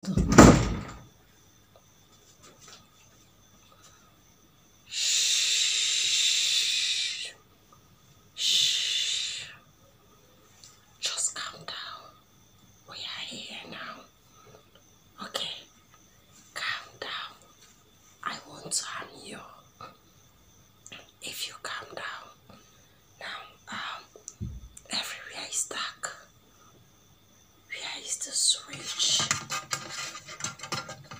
Shh. Shh. Just calm down. We are here now. Okay. Calm down. I won't harm you. If you calm down. Now, um, everywhere is dark. Where is the switch?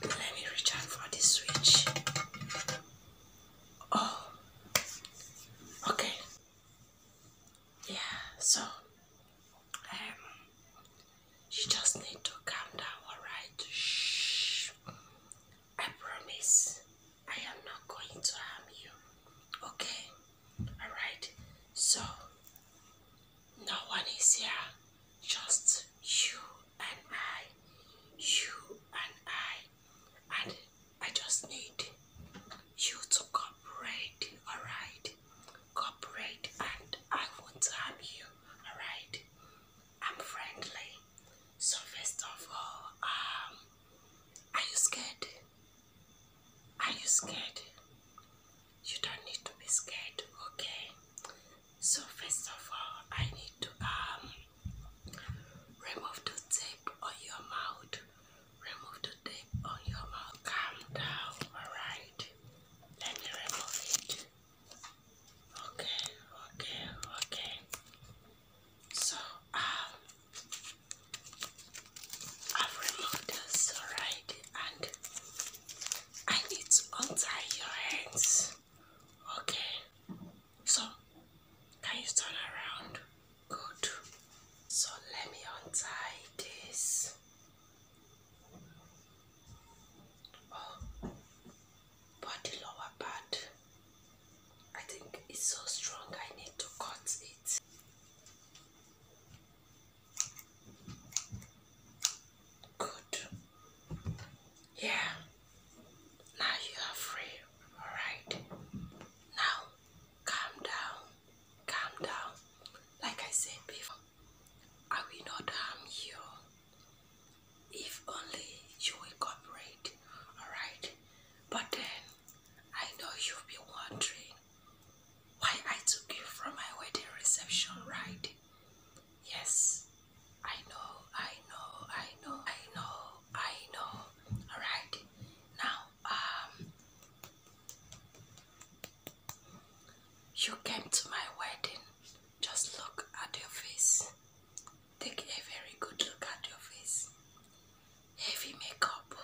Let me reach out for this switch. Oh, okay. Yeah, so um, you just need to calm down, alright? Shh. I promise I am not going to harm you. Okay? Alright? So, no one is here. Just you and I. You and I. And I just need you to cooperate. Alright? Cooperate and I won't harm you. Alright? I'm friendly. So first of all, um, are you scared? Are you scared? You don't need to be scared, okay? So, first of all, I need to um, remove the tape on your mouth. Remove the tape on your mouth. Calm down, alright? Let me remove it. Okay, okay, okay. So, um, I've removed this already and I need to untie your hands. Okay. So can you turn around? Good. So let me untie this. Oh, but lower part. I think it's so strong, I need to cut it. Good. Yeah. Now you are free. Alright. Now calm down. Calm down. Like I said before, I will not harm you. If only you cooperate. Alright. But then, I know you'll be wondering why I took you from my wedding reception right? Yes, I know, I know, I know, I know, I know. Alright, now, um, you came to my wedding. Just look at your face. Take a very good look at your face. Heavy makeup.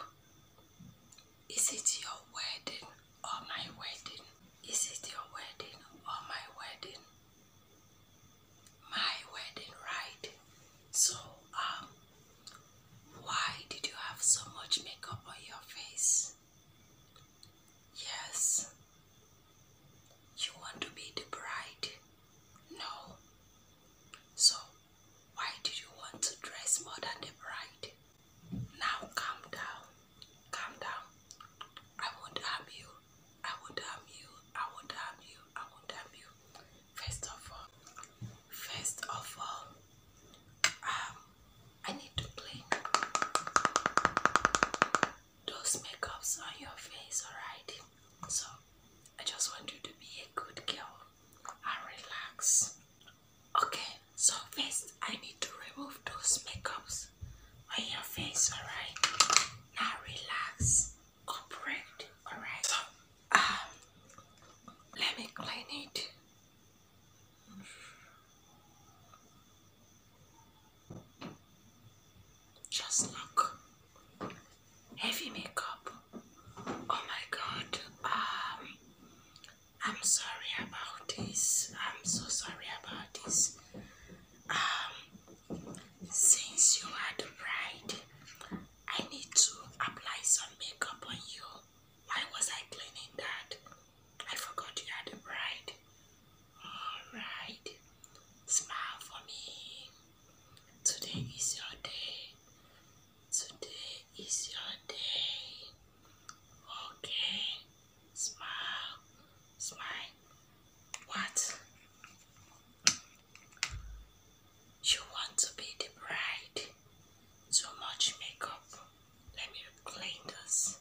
Is it your wedding or my wedding? Is it your wedding or my wedding? My wedding, right? So, um, why did you have so much makeup on your face? Yes, you want to be the bride? No. So, why do you want to dress more than the bride? Now calm down. Calm down. I won't harm you. I won't harm you. I won't harm you. I won't harm you. First of all, first of all, um, I need to clean those makeups on your face, alright? So I just want you to be a good girl and relax. Okay, so first I need to remove those makeups on your face, alright? Now relax, cooperate, alright? So, um, let me clean it. Just look. Heavy makeup. Oh my god. Um, I'm sorry about this. I'm so sorry about this. Um, since you are the bride, I need to apply some makeup on you. Why was I cleaning that? I forgot you are the bride. Alright. Smile for me. Today is your day. Today is your day. Okay. Smile. Smile. What? You want to be the bride. Too much makeup. Let me clean this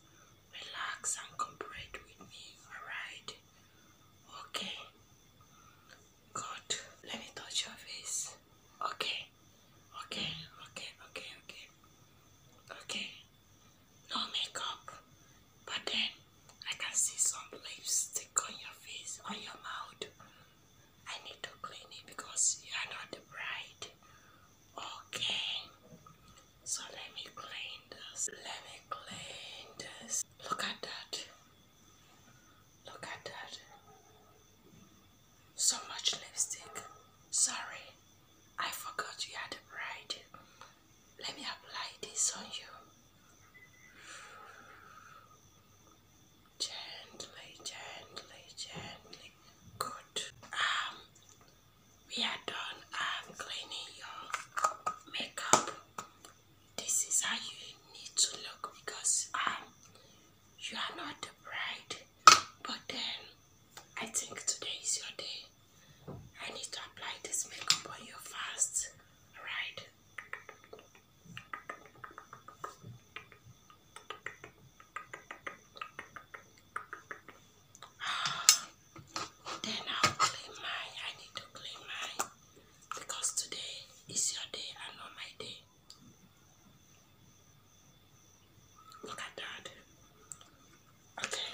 relax and cooperate with me, alright? Okay. Good. Let me touch your face. Okay. Okay, okay, okay, okay. Okay. No makeup. But then I can see some stick on your face, on your mouth. I need to clean it because you are not the bride. Okay, so let me clean this. Let me clean this. Look at that. Look at that. So much lipstick. Sorry, I forgot you had a bride. Let me apply this on you. Gently, gently, gently. Good. Um, we are done I'm cleaning your makeup this is how you need to look because um, you are not the bride but then I think today is your day I need to apply this makeup on you fast alright Then I'll clean mine. I need to clean mine because today is your day and not my day. Look at that. Okay.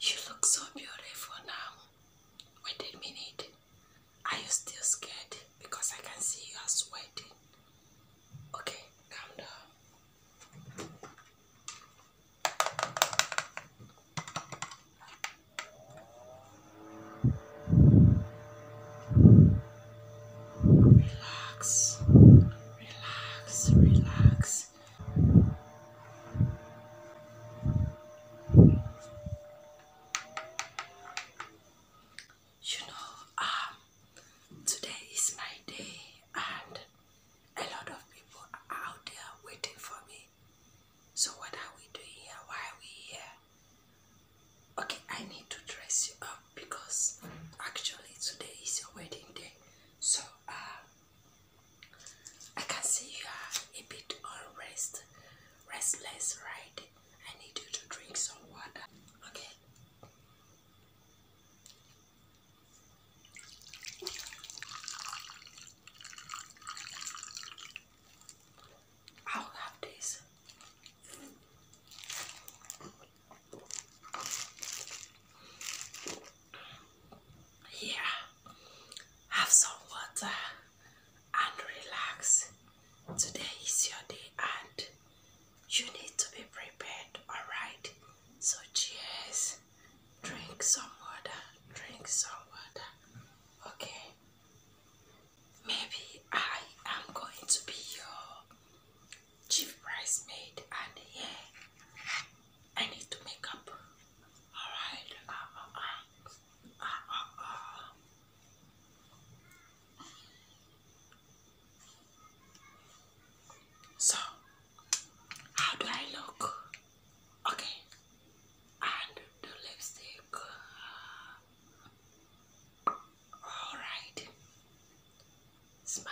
You look so beautiful now. Wait a minute. Are you still scared? Because I can see you are sweating. Okay, calm down. Relax, relax, relax you know, um, today is my day, and a lot of people are out there waiting for me. So, what are we doing here? Why are we here? Okay, I need to dress you up because actually today is your wedding day. So, um, I can see you are a bit unrest, restless, right? I need you to drink some water. Okay. I'll have this. Yeah, have some water and relax. Today is your day and you need to be prepared, alright? So cheers. Drink some water. Drink some water. Okay. Maybe I am going to be your chief bridesmaid and yeah, I need to make up. Alright. Uh, uh, uh. So, how do I look? Okay, and the lipstick. Alright, smile.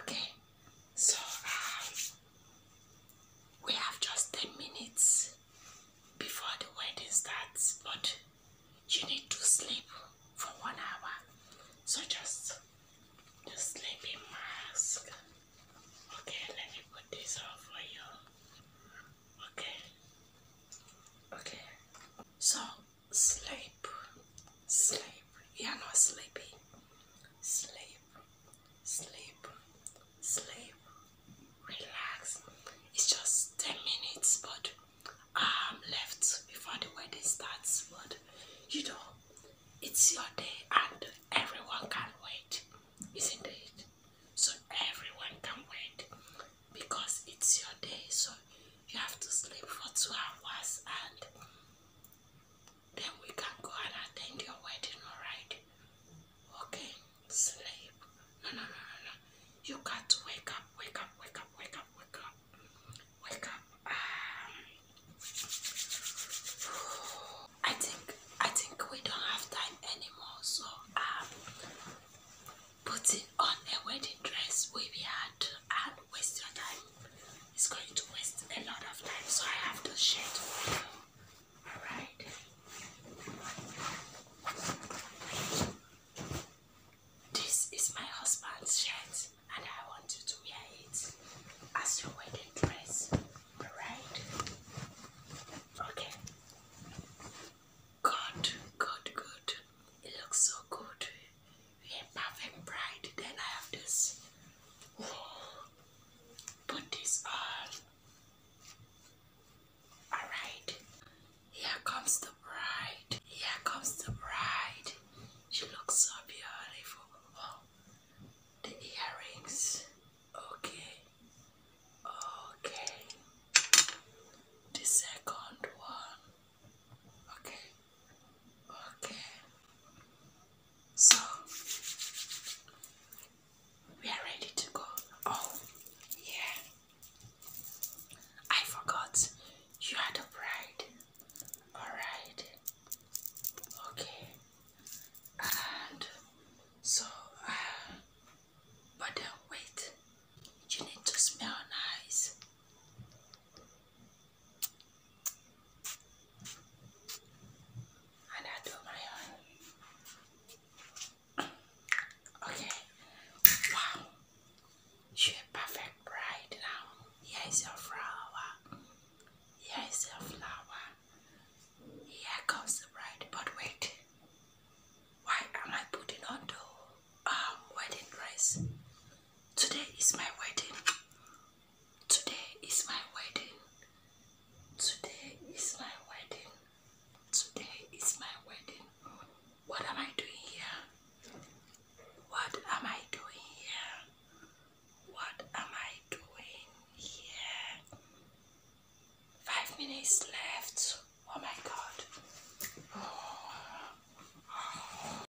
Okay, so um, we have just 10 minutes before the wedding starts, but you need to sleep for one hour. So just the sleeping mask. Okay, let me put this on for you. Okay. Okay. So sleep. Sleep. You're not sleepy. Sleep. Sleep, sleep, relax. It's just 10 minutes, but I'm left before the wedding starts. But you know, it's your day and everyone can wait, isn't it? So everyone can wait because it's your day. So you have to sleep for two hours and then we can go and attend your wedding, alright? Okay, sleep. No, no, no, no, no. You got to wake up, wake up, wake up, wake up, wake up. Wake up. Um, I think, I think we don't have time anymore, so um, putting on a wedding dress will be hard and waste your time. It's going to waste a lot of time, so I have to share it with you. All right. This is my husband's shirt, and I want you to wear it as your wedding dress. All right. Okay. Good, good, good. It looks so good. perfect bride. Then I have this put this on. Alright, here comes the bride. Here comes the bride. She looks so beautiful. Oh, the earrings. Okay, okay. The second one. Okay. Okay. So we are ready to go. Oh, yeah. I forgot you had a bride. Alright. Okay. And so, uh, but wait, you need to smell nice. And I do my own. Okay. Wow. you perfect bride now. Here is your flower. Here is your flower. Here comes the bride. But wait. Why am I putting on the um, wedding dress? Today is my wedding. Today is my wedding. Today is my wedding. Today is my wedding. What am I doing here? What am I doing here? What am I doing here? Five minutes left. Oh my god. Oh.